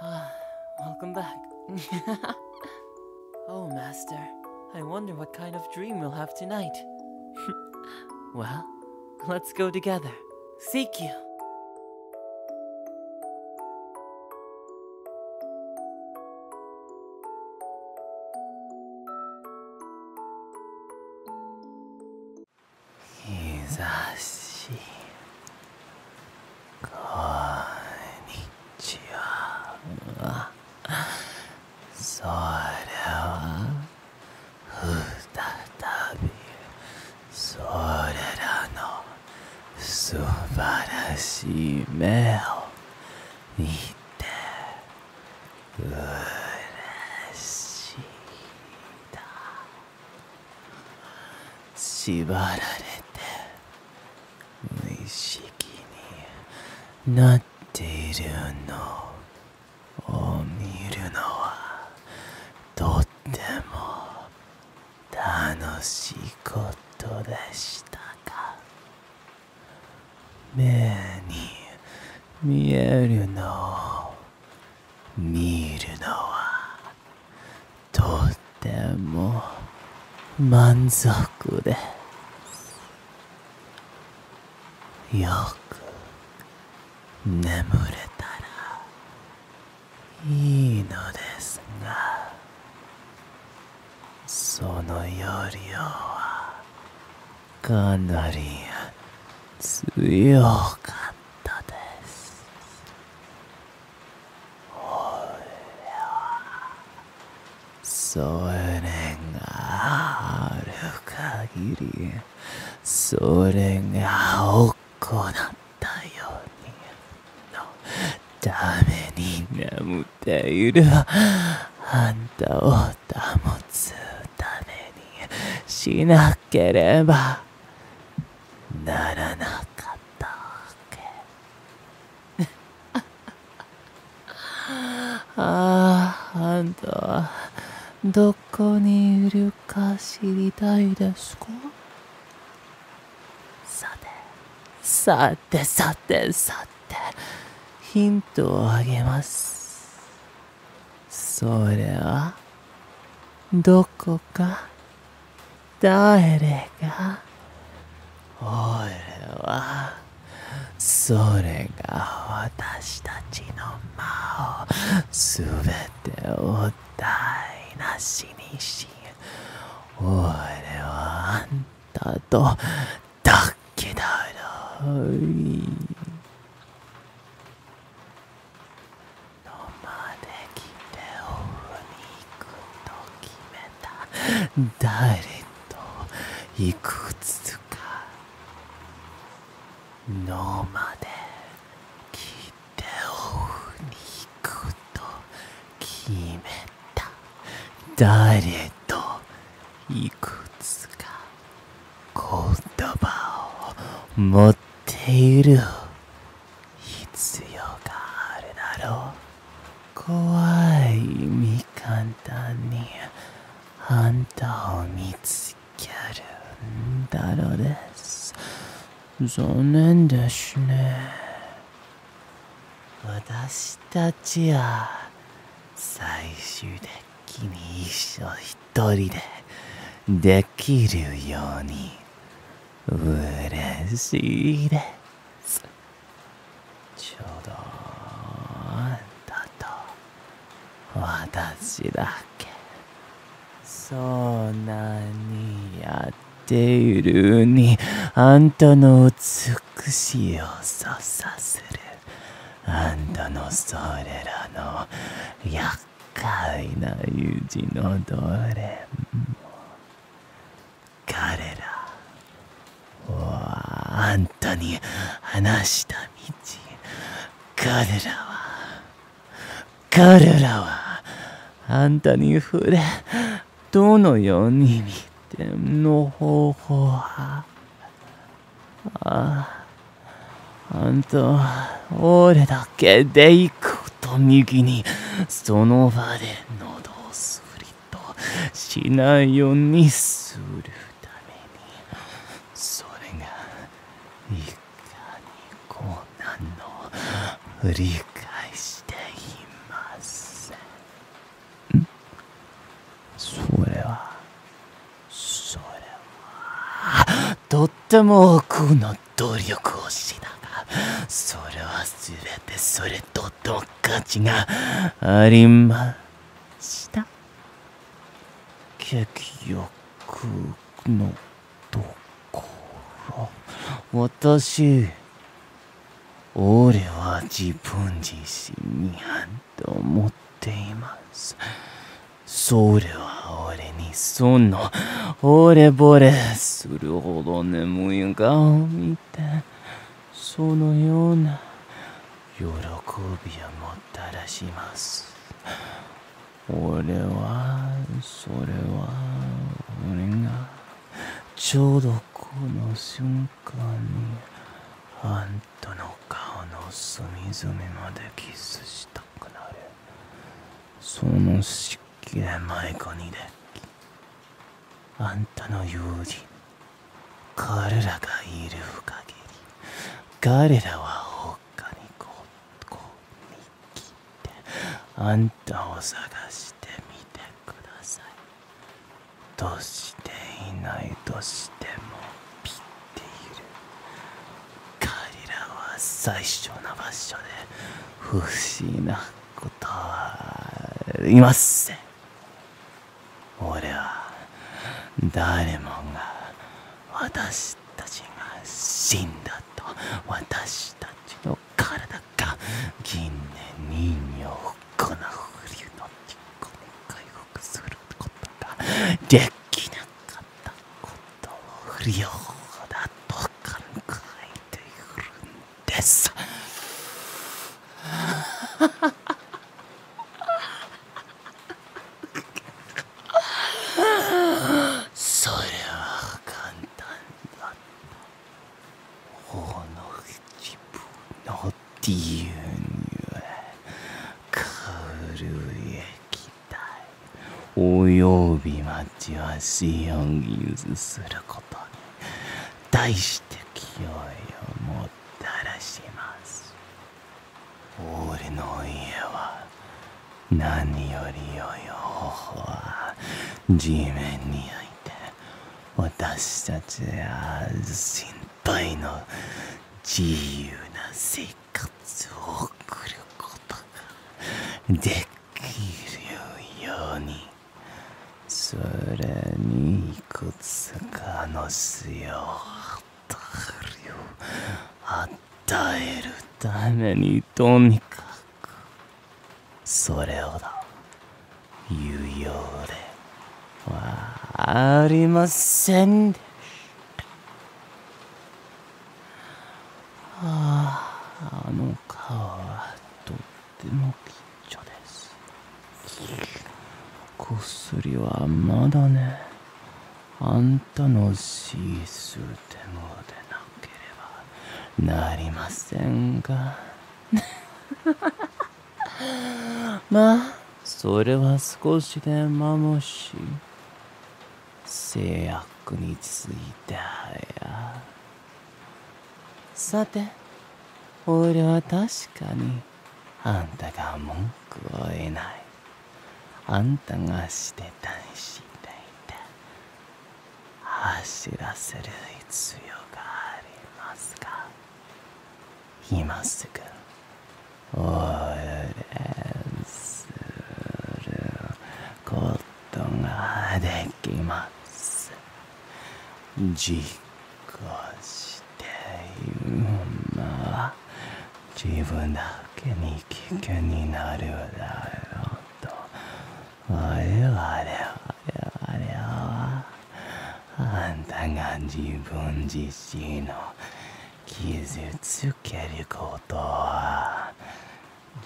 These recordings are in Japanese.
Ah, Welcome back. oh, Master. I wonder what kind of dream we'll have tonight. well, let's go together. Seek you. こんにちはそれは再びそれらの素晴らしい目を見てうれしいだ縛られて無意識になっているのを見るのはとっても楽しいことでしたか？目に見えるのを見るのはとても満足ですよく眠れたらいいのですがその夜よはかなり強かったですそれがある限りそれが行ったようにのために眠っているあんたを保つためにしなければならなかったけ あああんたはどこにいるか知りたいですかさてさてさてさてヒントをあげますそれはどこか誰が俺はそれが私たちの魔を全べてを台無しにし俺はあんたとだけだろのまで来ておうに行くと決めた誰といくつかのまで来ておうに行くと決めた誰といくつか言葉を持っている必要があるだろう怖い未簡単にあんたを見つけるんだろうです残念ですね私たちは最終的に一生一人でできるように嬉しいですちょうどあんたと私だけそんなにやっているにあんたの美しささするあんたのそれらの優快な友人のどれも彼らはあんたに話した道彼らは彼らはあんたに触れどのように見ての方法はああんたは俺だ右にその場で喉をすリとしないようにするためにそれがいかに困難の理解していませんそれはそれはとっても苦の努力をしながらそれは全てそれとの価値がありました結局のところ私俺は自分自身にと持っていますそれは俺にそのな、俺ぼれするほど眠い顔を見て、そのような喜びをもたらします。俺は、それは、俺が、ちょうどこの瞬間に、あんたの顔の隅々までキスしたくなる。そのきれまい子にであんたの友人彼らがいる限り彼らは他にこ見切ってあんたを探してみてくださいとしていないとしてもピッている彼らは最初の場所で不思議なことはいません俺は誰もが私たちが死んだと私たちの体が近年人形をこの冬の事故に回復することができなかったこと不良だと考えているんです。それは簡単だった。ほの一部の理由には軽い駅および町はシオンユズすることに対して気負いをもたらします俺の家は何より良い方法は地面に置いて私たちは心配の自由な生活を送ることできるようにそれにいくつかの水を与えるためにとにかくそれをだ言うようではありませんでしたあああの顔はとっても緊張です薬はまだねあんたのシースーでもでなければなりませんが まあそれは少しでまもし制約についてはやさて俺は確かにあんたが文句を言えないあんたがしてたしていた走らせる必要がありますか今すぐお許することができます実行している馬は自分だけに危険になるだろうと我々我々はあんたが自分自身の傷つけることは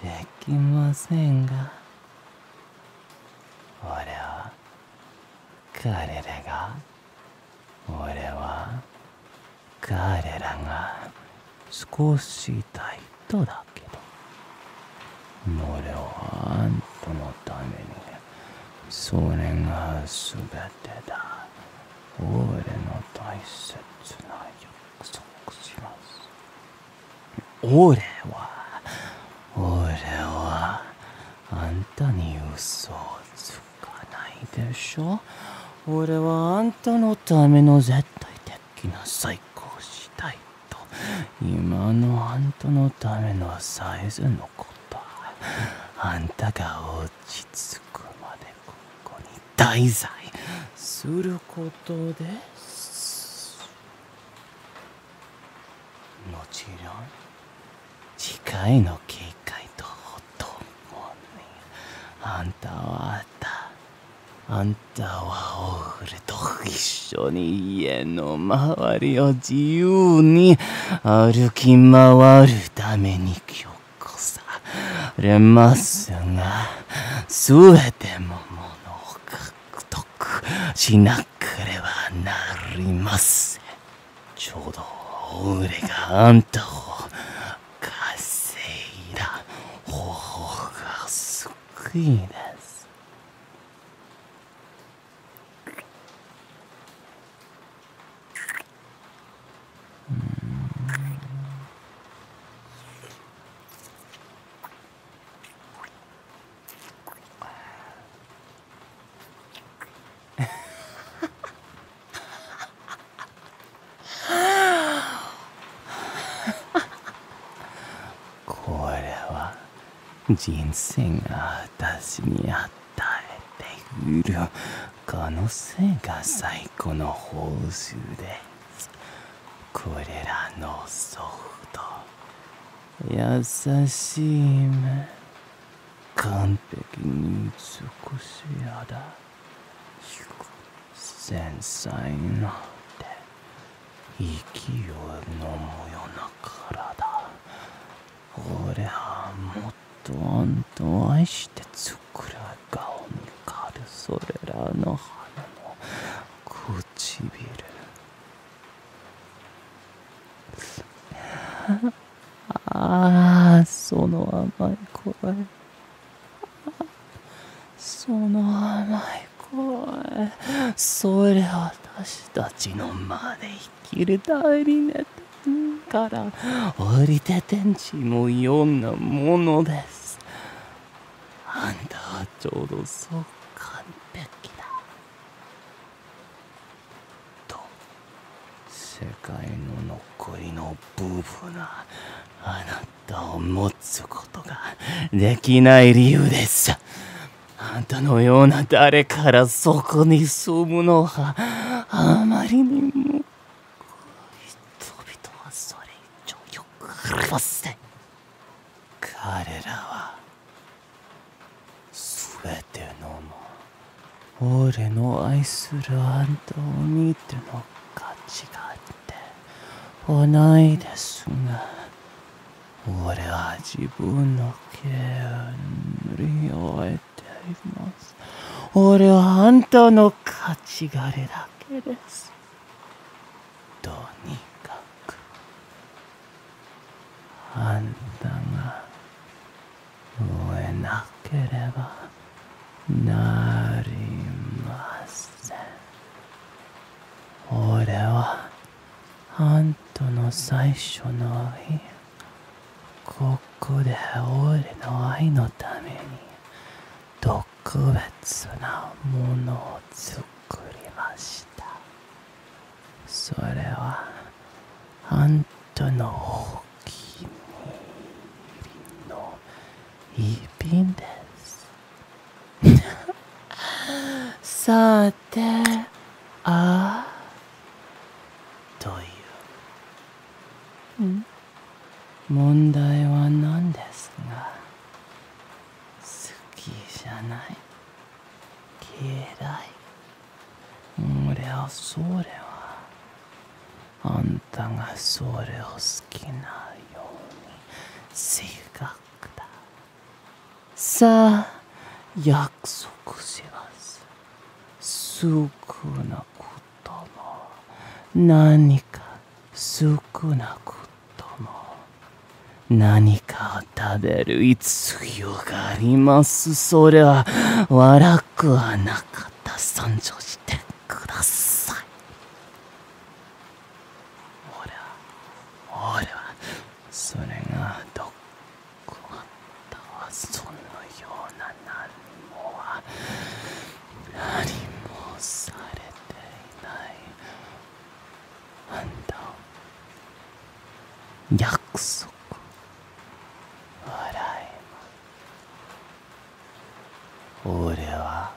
できませんが俺は彼らが俺は彼らが少し痛い人だけど俺はあんたのためにそれが全てだ俺の大切なよ俺は俺はあんたに嘘をつかないでしょ俺はあんたのための絶対的な最高たいと今のあんたのためのサイズのことあんたが落ち着くまでここに滞在することですもちろん次回の警戒とほとんどなあんたはあったあんたはオールと一緒に家の周りを自由に歩き回るためにこされますが、すべてものを獲得しなければなりません。ちょうど、俺があんたを稼いだ方法が救いです。これは人生が私に与えているこのせいが最高の報酬でこれらのソフト優しい目完璧に美しいだ。繊細にな手息を飲むような体俺はもっとあんた愛してつ桜顔に狩るそれらの花の唇ああその甘い声その甘い声それ私たちの間で生きる代理ねから降りて天地もいろんなものですあんたはちょうどそう完璧だと世界の残りの部分があなたを持つことができない理由ですあんたのような誰からそこに住むのはあまりにも人々はそれ以上よくわせ彼らは全てのも俺の愛するアントニーとの価値があってはないですが俺は自分の権利を得ています俺はあんたの勝ちがれだけですとにかくあんたが燃えなければなりません俺はあんたの最初の日ここで俺の愛のために特別なものを作りましたそれはあんたのお気に入りの一品です さてああといううん問題は何ですが好きじゃない嫌い俺はそれはあんたがそれを好きなように性格ださあ約束しますすぐなくとも何か少なくとも何かを食べる必要がありますそれは悪くはなかった参上してください俺は俺はそれがどこあったはそのようななるは何もされていないあんた約束笑い俺は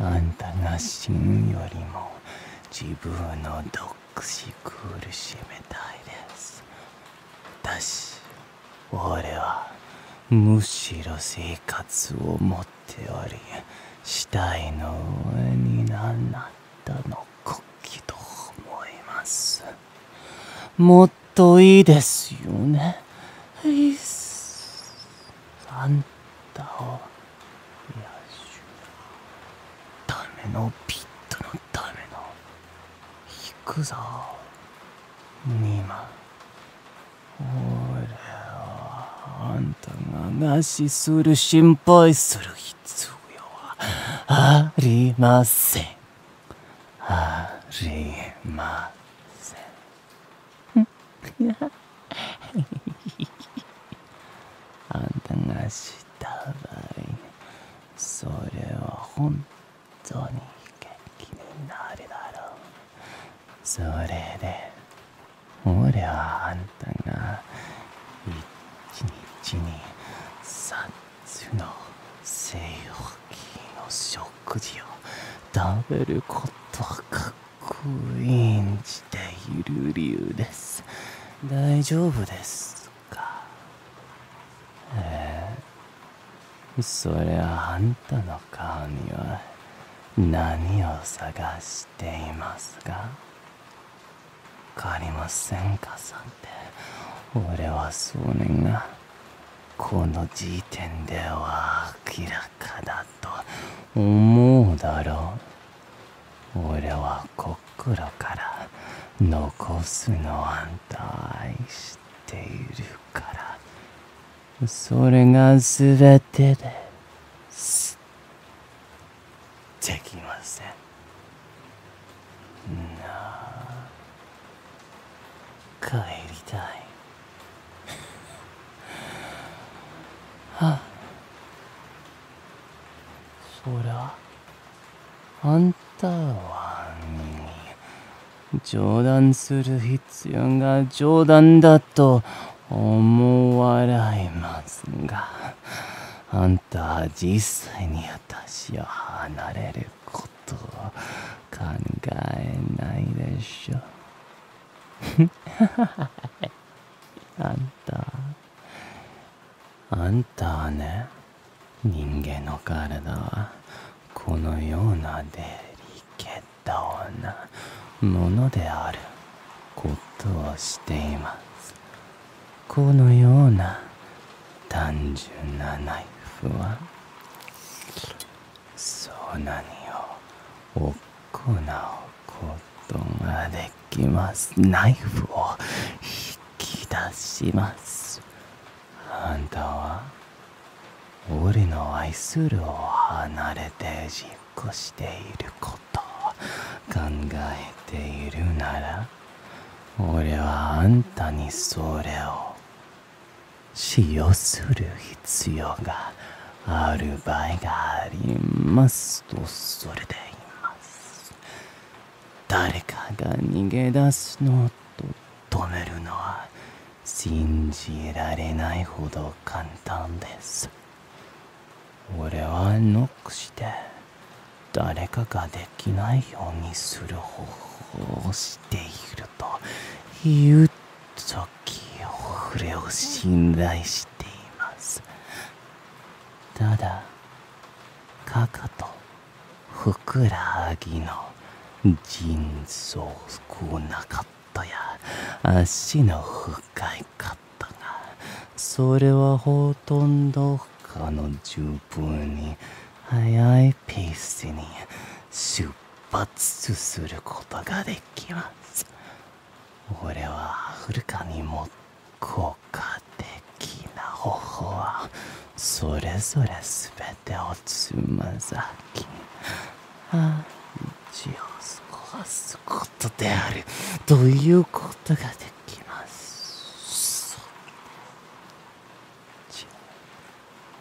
あんたが死ぬよりも自分の独死苦しめたいです私俺はむしろ生活を持っており死体の上に何なったの国旗と思いますもっといいですよねいっあんたを養うためのピットのための行くぞ2万俺はあんたが餓死する心配する必要はありませんありませんあんたがした場合それは本どうにか気になるだろうそれで俺はあんたが一日に三つの西洋機の食事を食べることはかっこいいんじている理由です大丈夫ですかえそれはあんたの顔には何を探していますか借りませんかさんて俺は少年がこの時点では明らかだと思うだろう俺は心から残すのあんた愛しているからそれが全てですできませんなあ。帰りたい はあそりゃあんたは冗談する必要が冗談だと思われますが、あんた実際に私を離れることを考えないでしょ。あんた、あんたはね、人間の体はこのようなデリケートなものであることをしていますこのような単純なナイフはそんなにを行うことができますナイフを引き出しますあんたは俺の愛するを離れて実行していることを考えているなら俺はあんたにそれを使用する必要がある場合がありますとそれでいます誰かが逃げ出すのと止めるのは信じられないほど簡単です俺はノックして誰かができないようにする方法をしていると言う時俺を信頼していますただかかとふくらはぎの腎臓少なかったや足の深いかったがそれはほとんど他の十分に速いペースに出発することができます俺ははるかにも効果的な方法はそれぞれすべてをつまざき味を過ごすことであるということができます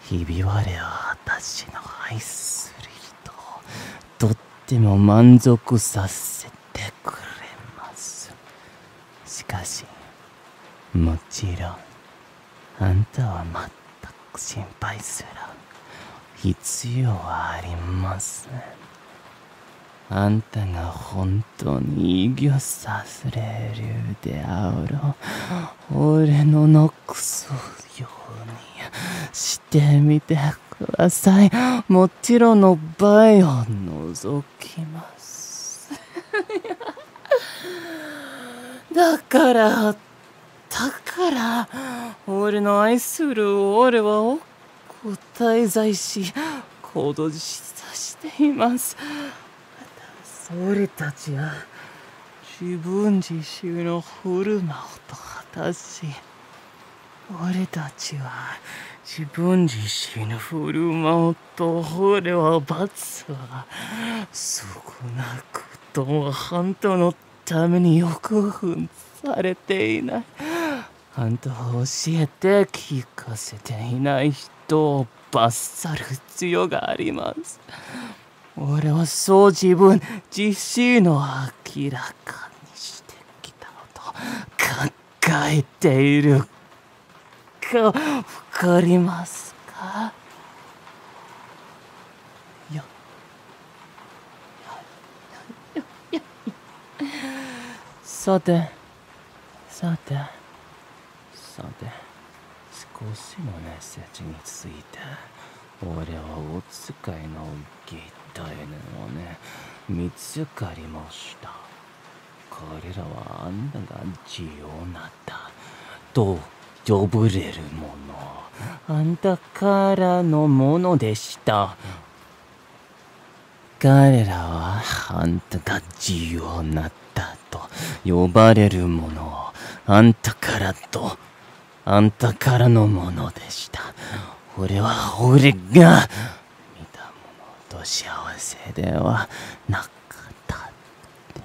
ひび割れは私の愛する人とっても満足させてくれますしかしもちろんあんたは全く心配する必要はありませんあんたが本当に異業させれるであろう俺ののくそようにしてみてくださいもちろんの倍を覗きます だから、だから、俺の愛する俺はお答え在し、行動し。さしています。俺たちは、自分自身の振る舞うと果たし、俺たちは、自分自身の振る舞うの東では罰は少なくとも半島のために欲分されていない半島を教えて聞かせていない人を罰さる必要があります俺はそう自分自身の明らかにしてきたのと考えているか、わかりますかさて、さて、さて、少しの熱せについて、俺はお使いのギターをね、見つかりました。彼らはあんたが自由なとジぶれるものあんたからのものでした彼らはあんたが自由になったと呼ばれるものをあんたからとあんたからのものでした俺は俺が見たものと幸せではなだって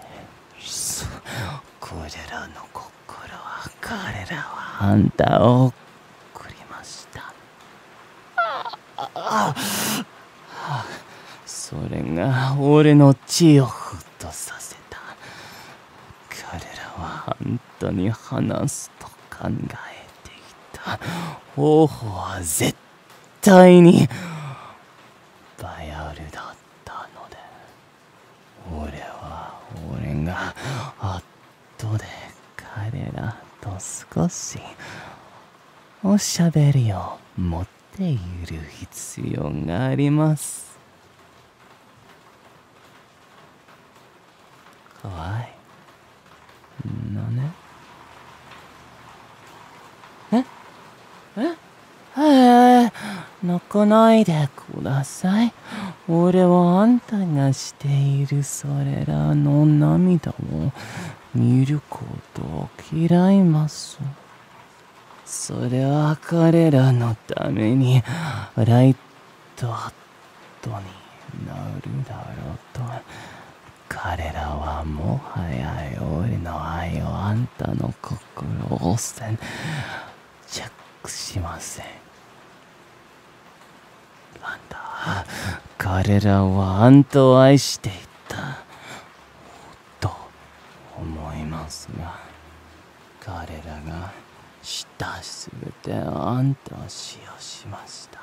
彼らの心は彼らはあんたを送りましたそれが俺の血をふっとさせた彼らはあんたに話すと考えていた方法は絶対対にバヤルだったので俺は俺が後で彼らと少しおしゃべりを持っている必要がありますかわい何。のねえええ泣かないでください俺はあんたがしているそれらの涙を見ることを嫌いますそれは彼らのためにライトアットになるだろうと彼らはもはや俺の愛をあんたの心を先着しませんあんた彼らはあんたを愛していたと思いますが彼らがしたすべてあんたを使用しました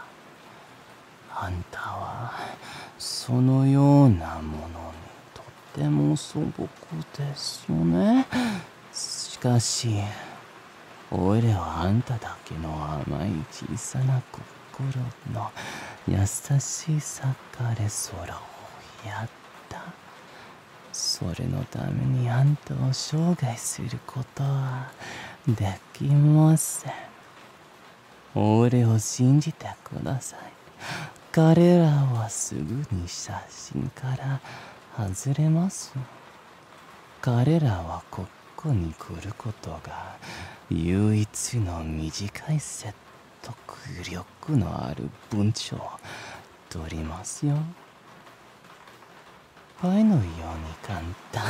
あんたはそのようなものにとても素朴ですよねしかし俺らはあんただけの甘い小さな心の優しさから空をやったそれのためにあんたを生涯することはできません俺を信じてください彼らはすぐに写真から外れます彼らはここに来ることが唯一の短い説得力のある文章を取りますよパイのように簡単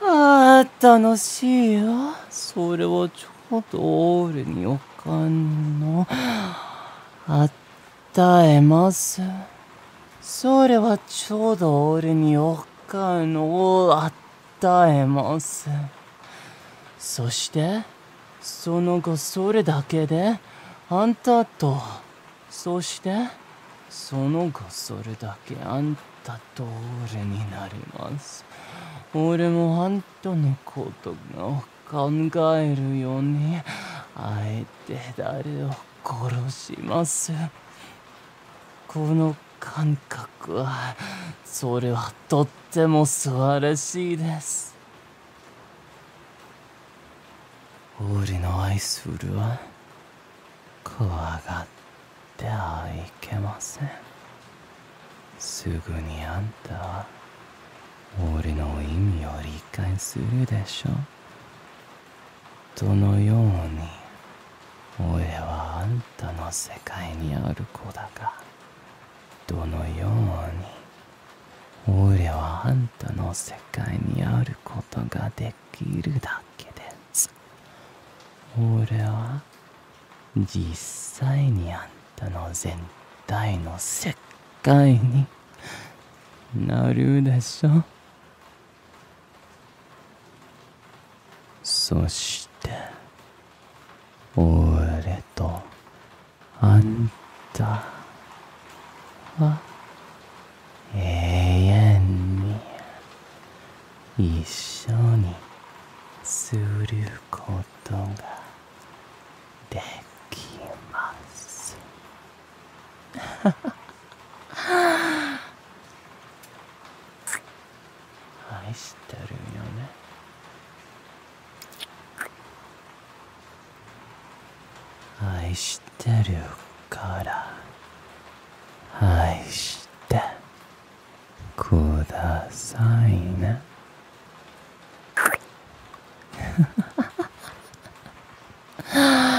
ああ楽しいよそれはょどおるにおかんのあったえますそれはちょうどおるにおかんのあったえますそしてその後それだけであんたとそしてその後それだけあんた後俺になります俺もあんたのことを考えるようにあえて誰を殺しますこの感覚はそれはとっても素晴らしいです俺の愛するは怖がってっはいけませんすぐにあんたは俺の意味を理解するでしょどのように俺はあんたの世界にある子だか。どのように俺はあんたの世界にあることができるだけです俺は実際にあんたの全体の世界になるでしょそして俺とあんたは永遠に一緒にすることができます 愛してるよね愛してるから愛してくださいね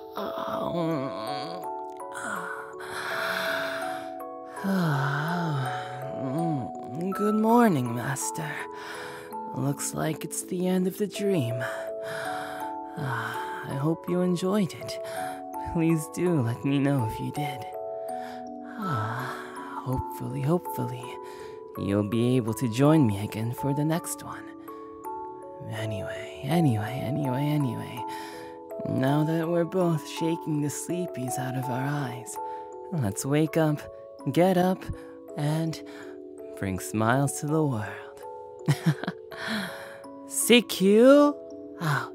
Good morning, Master. Looks like it's the end of the dream. I hope you enjoyed it. Please do let me know if you did. Hopefully, hopefully, you'll be able to join me again for the next one. Anyway, anyway, anyway, anyway. Now that we're both shaking the sleepies out of our eyes, let's wake up, get up, and bring smiles to the world. CQ out.